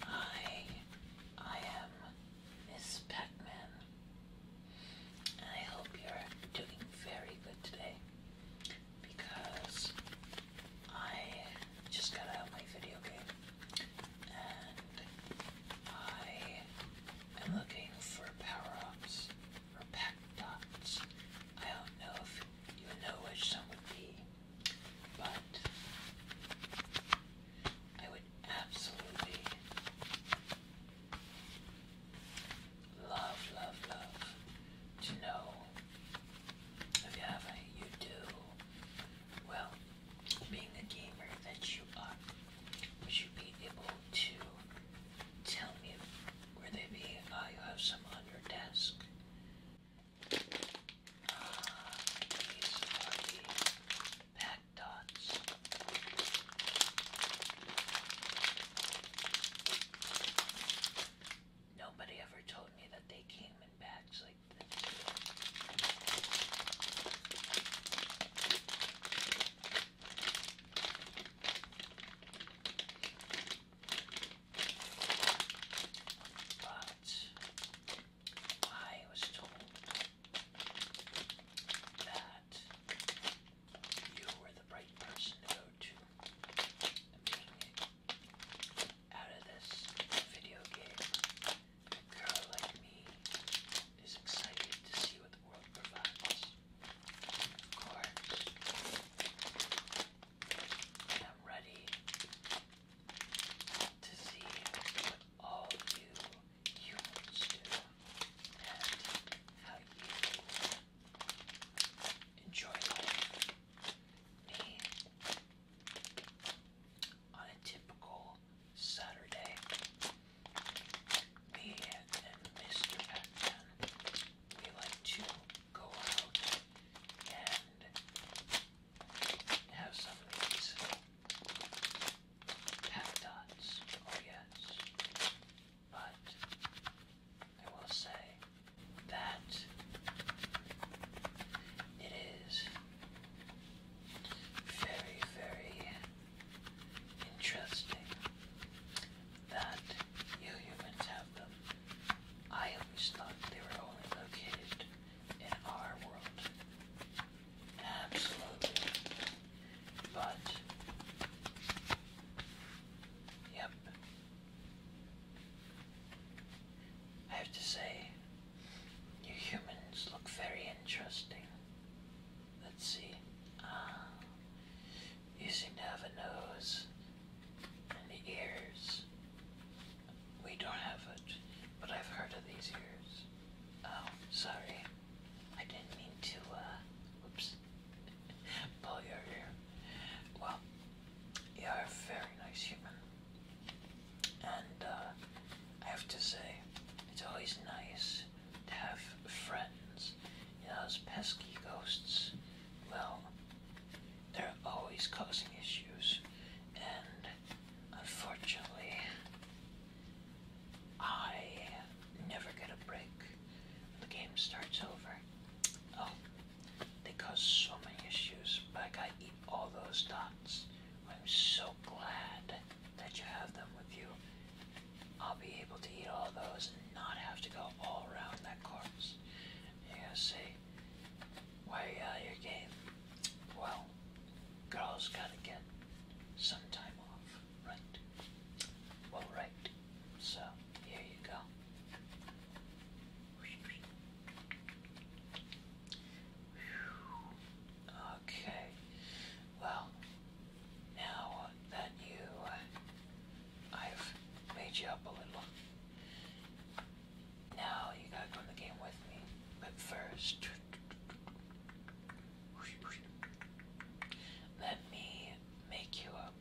Hi, I am Miss Pac-Man, I hope you're doing very good today because I just got out my video game and I am looking for power-ups or packed I don't know if you know which some would be, but I would absolutely love, love, love to know if you have any. You do. Well, being the gamer that you are, would you be able to tell me where they be, uh, have some on your desk. Ah, these are the pack dots. Nobody ever told me that they came in bags like this. But I was told that you were the right person to go to. out of this video game, girl like me is excited to see what the world provides. I'm ready to see what all you humans do and how you enjoy Me, on a typical Saturday, me and Mr. we like to go out and have some of these pack dots. Oh, but I will say that it is very, very Interesting that you humans have them. I always thought they were only located in our world. Absolutely. But, yep. I have to say, you humans look very interesting. Let's see. Uh, you seem to have a nose and ears. We don't have it, but I've heard of these ears. Oh, sorry. I didn't mean to, uh, Oops. pull your ear. Well, you're a very nice human. And, uh, I have to say, it's always nice to have friends. You know, those pesky ghosts, well, they're always causing issues, and unfortunately, I never get a break the game starts over. Oh, they cause so many issues, but I gotta eat all those dots. I'm so glad that you have them with you, I'll be able to eat all those and not have to go all around that course. You're gonna say, why are uh, you out of game? Well, girls gotta get some time off, right? Well, right. So, here you go. Okay. Well, now that you, uh, I've made you up a little, now you gotta go in the game with me. But first, let me make you up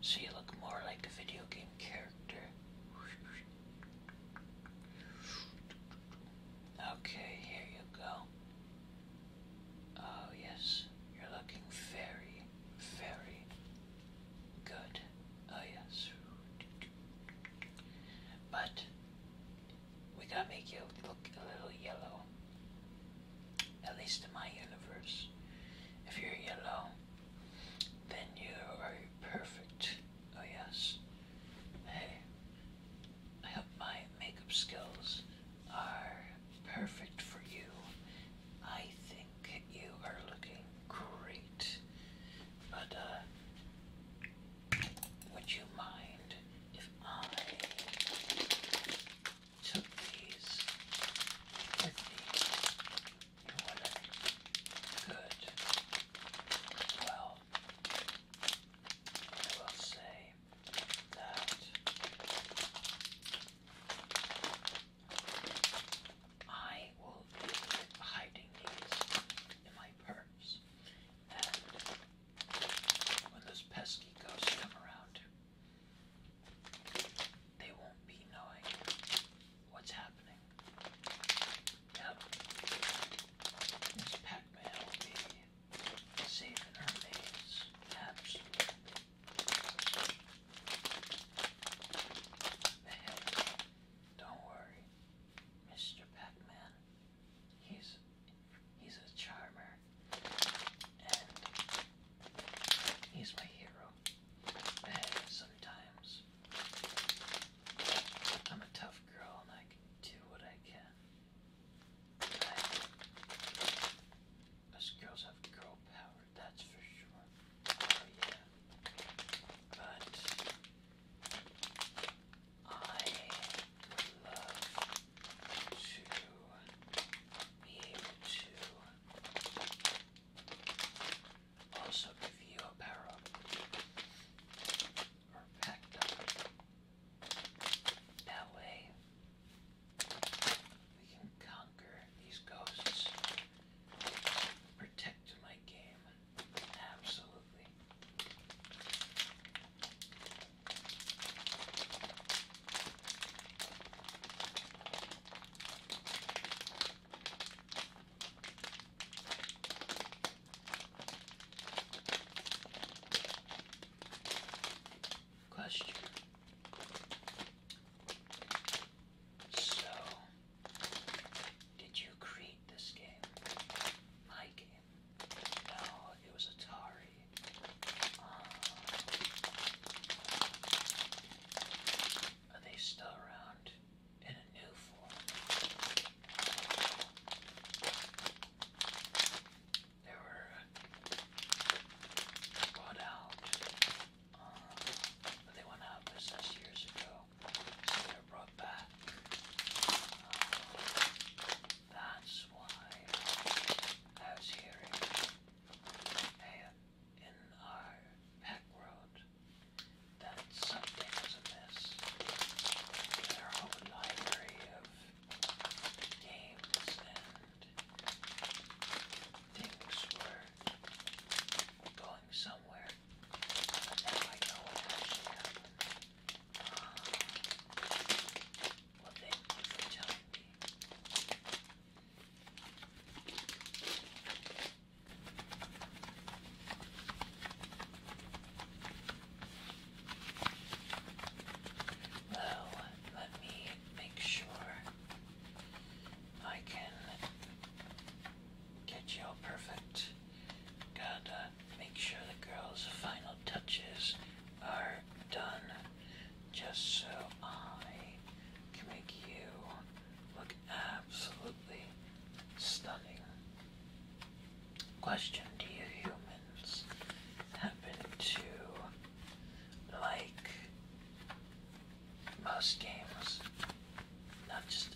so you look more like a video game character. Okay, here you go. Oh, yes, you're looking very, very good. Oh, yes. But we gotta make you look a little yellow. At least in my universe. If you're yellow, then you are perfect. Oh, yes. Hey, I hope my makeup skills are perfect for you. I think you are looking great. But, uh, would you mind if I took these with me? You want Good. Well, I will say that I will be hiding these in my purse. And when those pesky ghosts come around, they won't be knowing what's happening. Yep. This pack mail will be saving our face. Absolutely. Man, don't worry, Mr. He's he's a charmer, and he's my hero. And sometimes I'm a tough girl, and I can do what I can. Us girls have girl power, that's for sure. Oh yeah. But I would love to be able to also give you a power up or that way, we can conquer these ghosts, protect my game, absolutely. Question. So, did you create this game? My game? No, it was Atari. Uh, are they still around in a new form? They were uh, bought out. Um, but they went out of business years ago. they're brought back. Um, that's why I was hearing in our back road that something was amiss this. whole library of games and things were going somewhere. now I know what actually happened. Uh, thank you me. Though, let me make sure I can get you all perfect. Gotta make sure the girl's final touches are done just so I can make you look absolutely stunning. Question Do you humans happen to like most games? Not just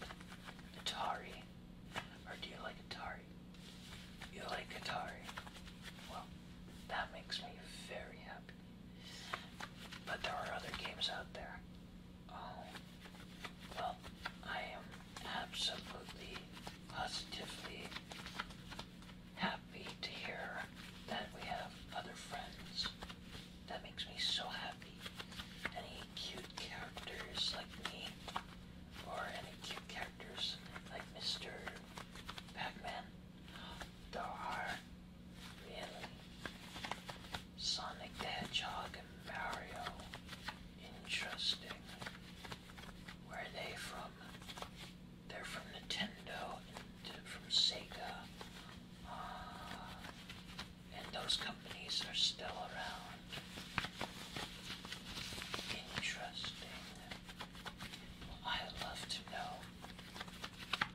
Atari? Or do you like Atari? You like Atari? Well, that makes me very happy. But there are other games out there. Oh, well, I am absolutely positively happy to hear that we have other friends. That makes me so happy. Any cute characters like me, or any cute characters like Mr. Pac-Man, there are really Sonic the Hedgehog Mario Interesting. Where are they from? They're from Nintendo and uh, from Sega. Ah, and those companies are still around. Interesting. I love to know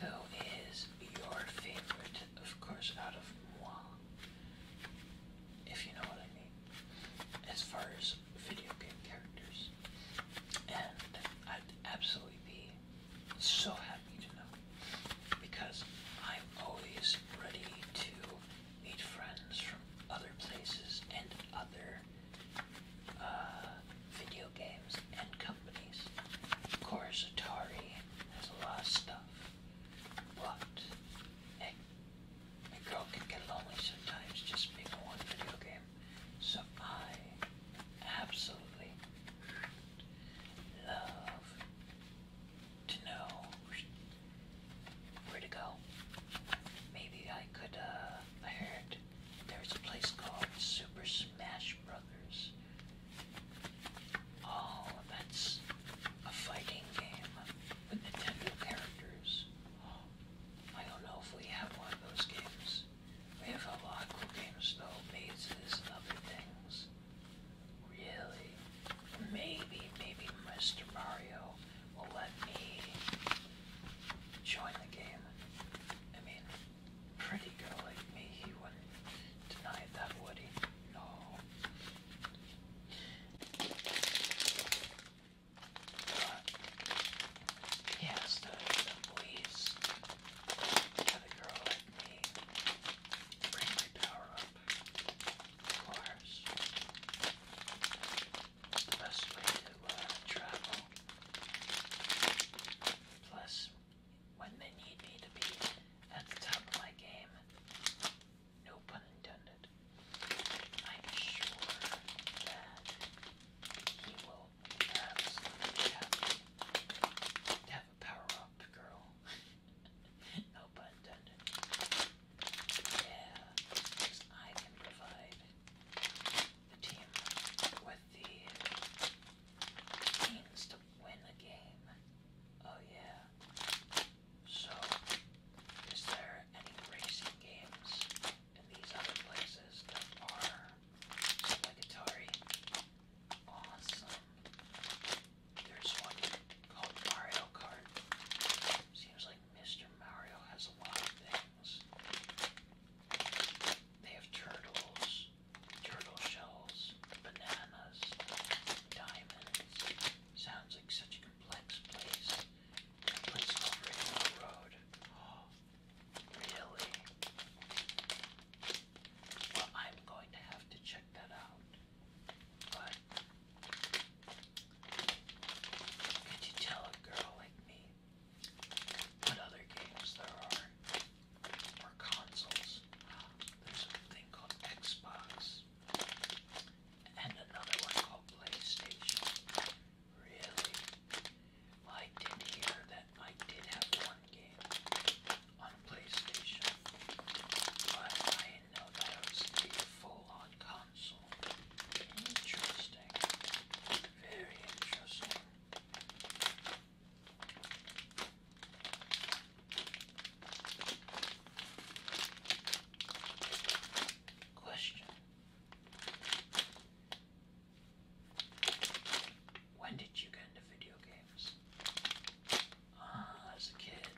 who is your favorite, of course, out of moi if you know what I mean, as far as video game characters. And I'd absolutely be so happy to know because I'm always ready to meet friends from other places and other uh, video games and companies. Of course, Atari has a lot of stuff. But a girl can get lonely sometimes just being one video game. So I absolutely love to know where to go. Maybe I could, uh, I heard there's a place called Super Smash Brothers Oh, that's a fighting game with Nintendo characters. Oh, I don't know if we have one of those games. We have a lot of cool games though, mazes and other things. Really? Maybe, maybe Mr. Mario will let me join the game. I mean, pretty girl like me, he wouldn't deny that, would he? No. yes, the, the police girl let me bring my power up. Of course. It's the best way to uh, travel. Plus, when they need me to be at the top of my game. No pun intended. I'm sure that he will absolutely have, have a power up, girl. no pun intended. Yeah, because I can provide the team with the means win the game. Oh yeah. So, is there any racing games in these other places that are obligatory? Awesome. There's one called Mario Kart. Seems like Mr. Mario has a lot of things. They have turtles shells, turtle shells, bananas, diamonds. Sounds like such a complex place. Let's over road. really? Well, I'm going to have to check that out. But could you tell a girl like me what other games there are? or consoles. There's a thing called Xbox and another one called PlayStation. Really? I did hear that I did have one game on PlayStation, but I didn't know that it was the full-on console. Interesting. Very interesting. Question When did you get into video games? Ah, as a kid.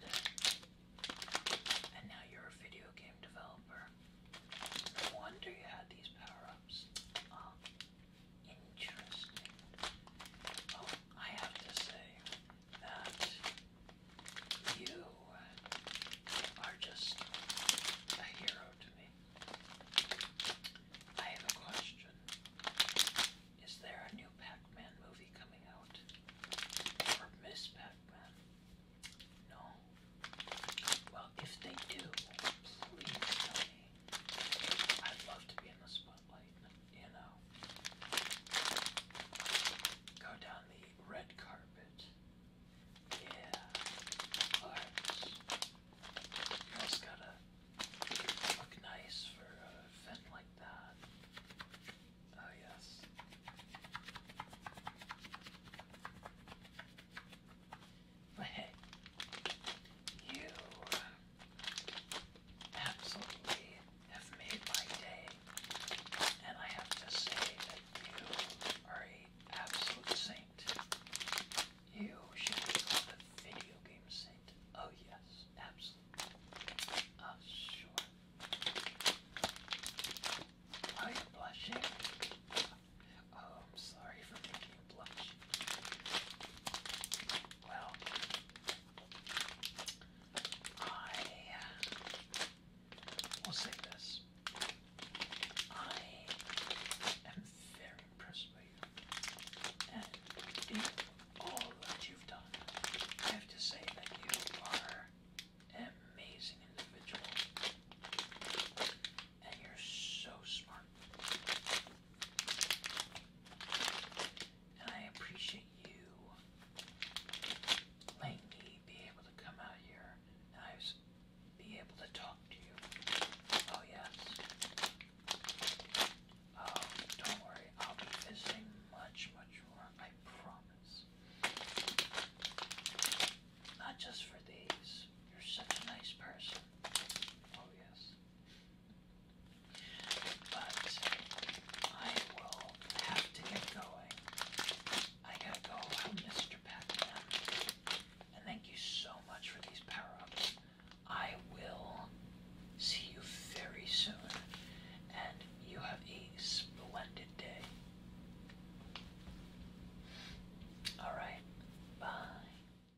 And now you're a video game developer. No wonder you had these power ups. Ah. Interesting. Oh, I have to say that you are just a hero to me. I have a question. Is there a new Pac-Man movie coming out? Or Miss Pac-Man? No. Well, if they do, please tell me. I'd love to be in the spot you know, go down the red carpet. Yeah, arts. You gotta look nice for an event like that. Oh, yes. But hey, you absolutely have made my day. And I have to say that you are an absolute saint. You should be called a video game saint. Oh yes, absolutely. Oh sure. Are you blushing? Oh, I'm sorry for making well, I will say this. I am very impressed by you. And all that you've done, I have to say that you are an amazing individual. And you're so smart. And I appreciate you letting me be able to come out here and be able to talk to you. Oh yes. Oh, don't worry, I'll be visiting much, much more, I promise. Not just for these. You're such a nice person. Oh yes. But I will have to get going. I gotta go Mr. And thank you so much for these power-ups. I will see you very soon. And you have a splendid day. Alright, bye.